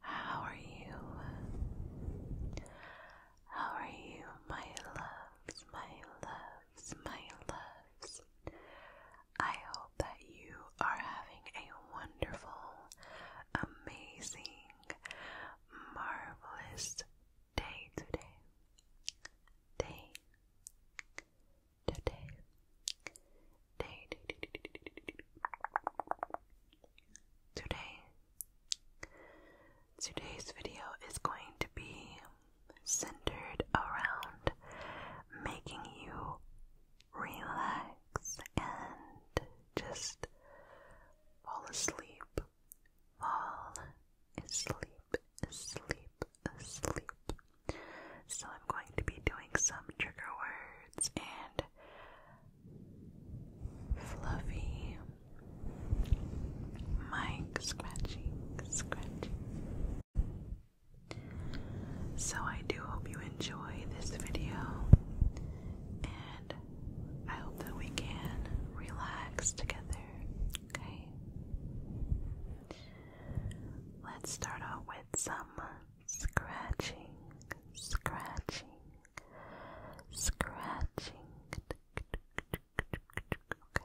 How are you? How are you, my loves, my loves, my loves? I hope that you are having a wonderful, amazing, marvelous day today. Day, today. Day, day, Today, today's video is going to be centered around making you relax and just fall asleep. Fall asleep, asleep, sleep. So I'm going to be doing some trigger words and fluffy mic scratching, scratching. So I do hope you enjoy this video and I hope that we can relax together, okay? Let's start out with some scratching, scratching, scratching. Okay.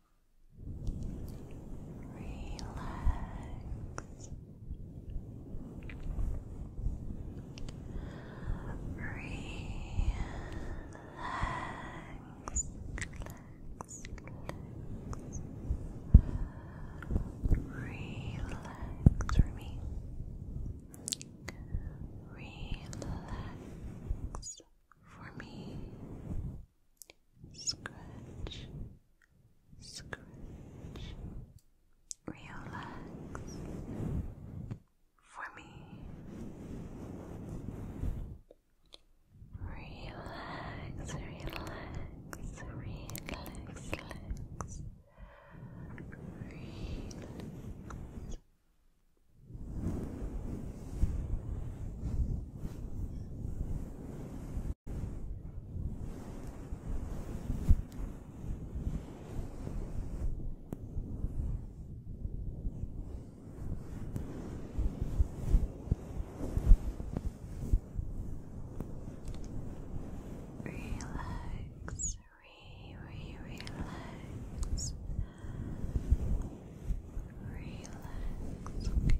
Relax. Relax. Relax. Relax. for me. Relax for me. Scratch, scratch, relax for me. Relax, relax, relax, relax. Relax, Relax, re, re, relax. Relax. Okay. Okay.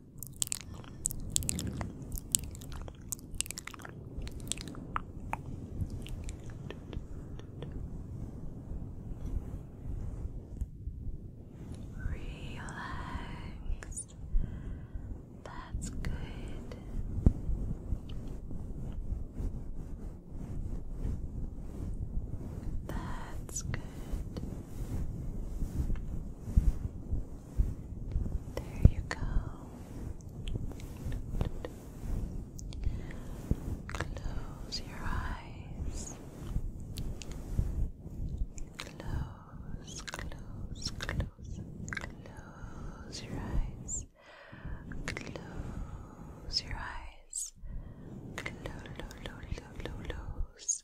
Relax. That's good. That's good. There you go. Close your eyes. Close, close, close, close your eyes. Close your eyes. Close, close, close, close.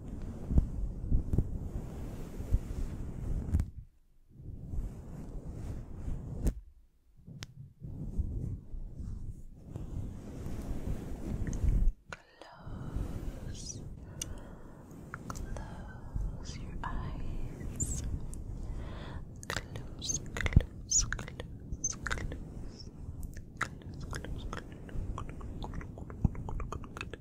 Close, close your eyes. Close, close, close, close, close, close, close, close, close, close, close, close,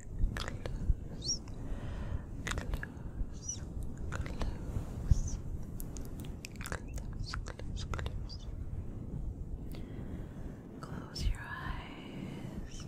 close, close, close, close, close, close. Close Close your eyes.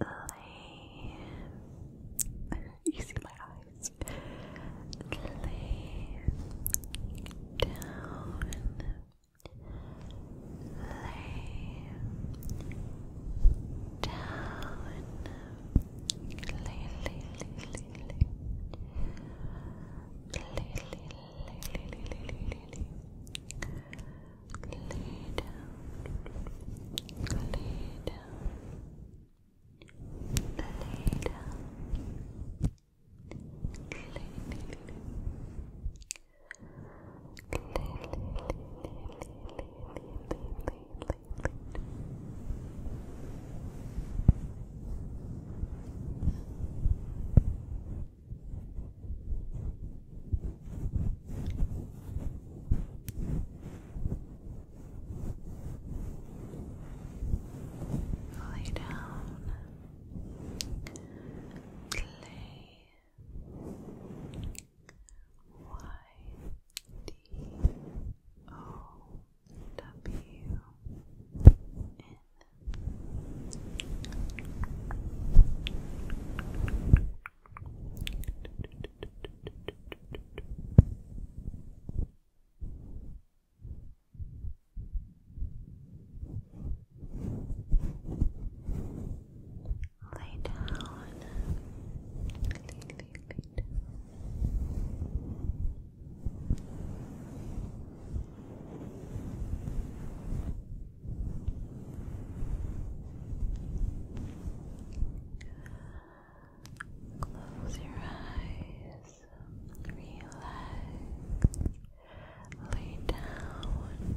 Lay. you see my eyes. Lay down lay down, lay, lay, lay, lay, lay. Lay, lay, lay, lay, lay, lay, lay, lay. Lay down, lay down, lay down, lay, lay, lay, Lay down, play Y D O W N. Lay down. Close your eyes. Relax. Lay down.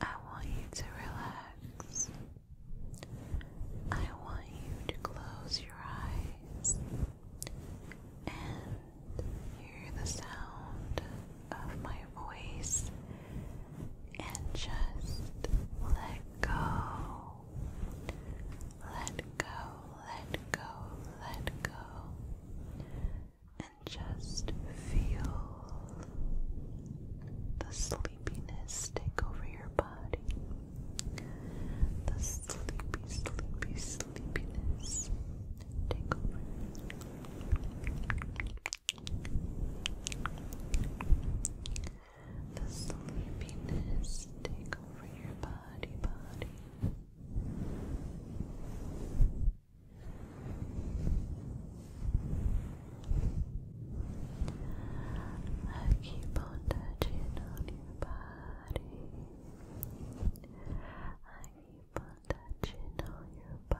I want you to relax. I want you to close your eyes and hear the sound of my voice and just let go. Let go, let go, let go. And just feel the sleepiness take over your body. The sleepy, sleepy, sleepiness take over. The sleepiness take over your body, body. I keep on touching on your body. I keep on touching on your to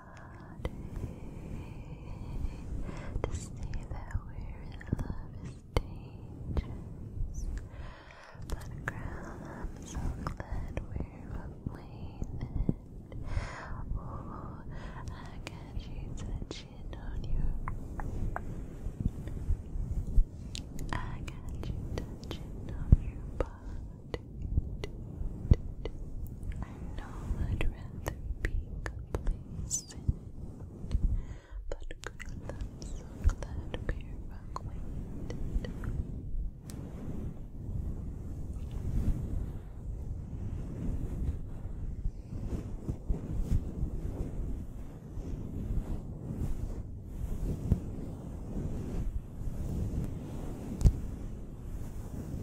see that we're in love is dangerous. But girl, I'm so glad we're acquainted. Oh, I got you touching on your. I got you touching on your body. I know I'd rather be complacent, but girl, i so glad we're acquainted.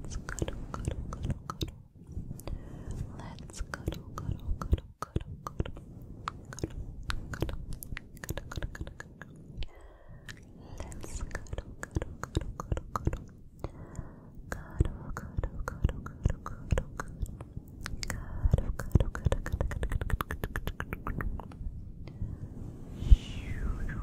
Let's cuddle, cuddle, cuddle, cuddle. Let's cuddle, cuddle, cuddle, cuddle, cuddle, cuddle, cuddle, cuddle, cuddle, cuddle, Let's cuddle, cuddle, cuddle, cuddle, cuddle. Cuddle, cuddle, cuddle, cuddle, cuddle, cuddle. Cuddle, cuddle, cuddle, cuddle, cuddle, cuddle, cuddle, cuddle. Good.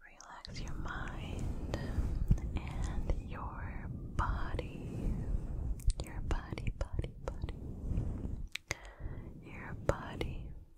Relax your mind and your body. Your body, body, body. Your body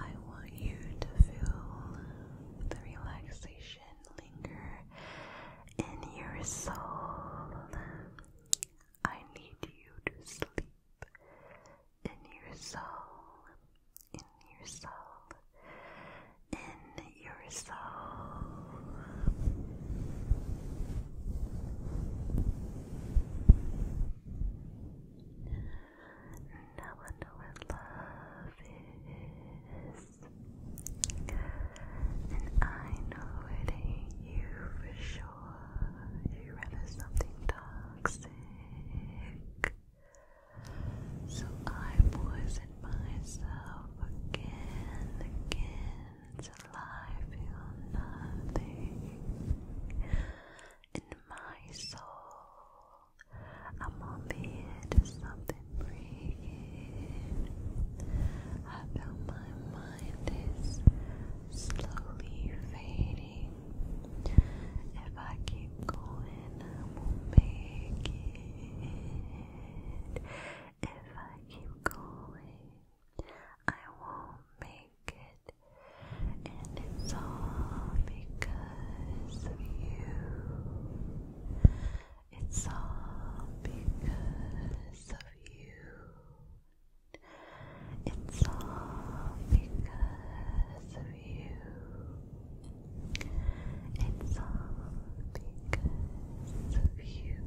I want you to feel the relaxation linger in your soul. I need you to sleep in your soul, in your soul, in your soul. Now I know what love is. And I know it ain't you for sure. You are rather something toxic. So I poison myself again, and again, till I feel nothing in my soul. I'm on the edge of something breaking. I feel my mind is slowly fading. If I keep going, I will make it. If I keep going, I won't make it. And it's all because because of you. It's all because of you. It's all because of you. It's all because of you.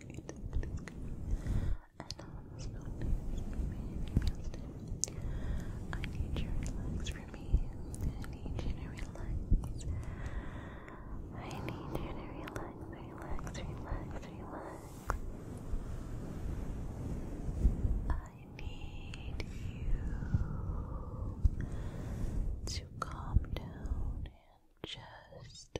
I need you to relax for me. I need you to relax. I need you to relax, relax, relax, relax. I need you to calm down and just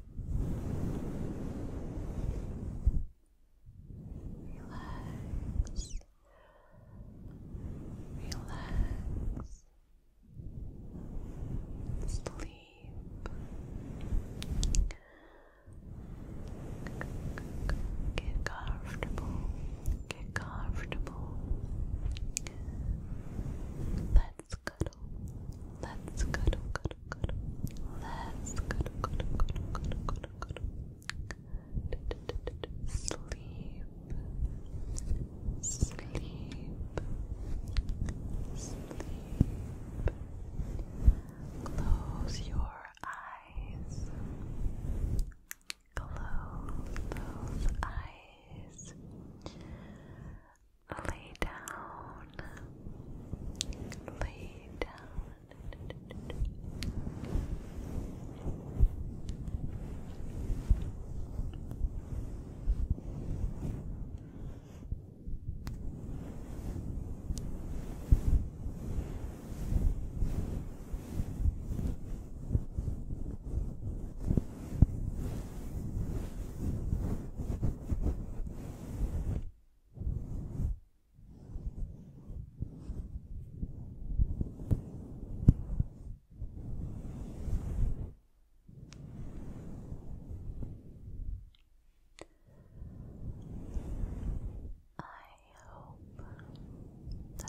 Relax. Relax. Sleep. Get comfortable. Get comfortable. Let Let's cuddle. Let's cuddle, cuddle, cuddle. Let's cuddle, cuddle, cuddle, cuddle, cuddle, cuddle. Sleep. Sleep. Sleep. Close your eyes. Close those eyes. Lay down. Lay down. I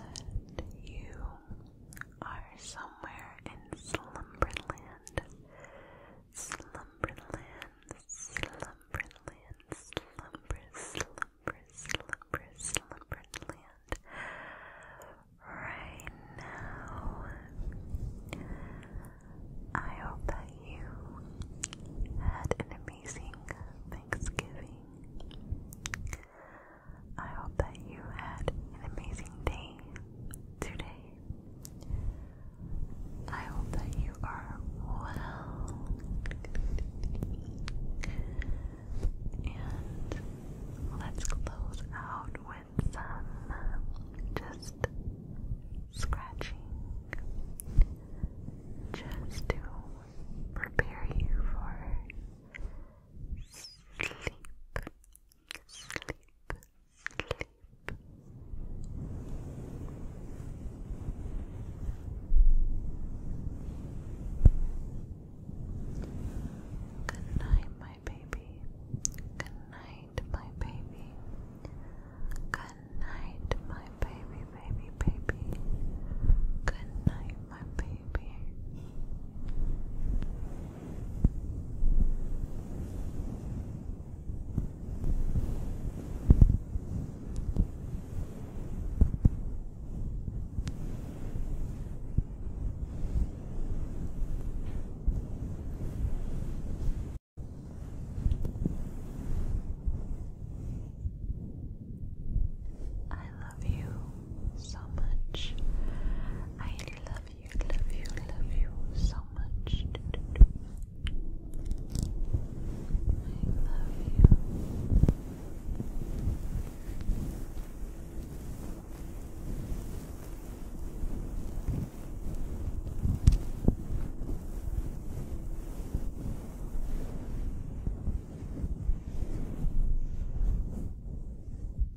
hope that you are somewhere in Slumberland Slumberland, Slumberland, Slumber, Slumber, Slumber, Slumberland. Right now, I hope that you had an amazing Thanksgiving. I hope that you had an amazing day today. I hope that you are well and let's close out with some just scratching just to prepare you for sleep sleep Good night, my baby. Good night, my baby. Good night, my baby, baby, baby. Good night, my baby. I love you so much. I love you, love you, love you so much. I love you.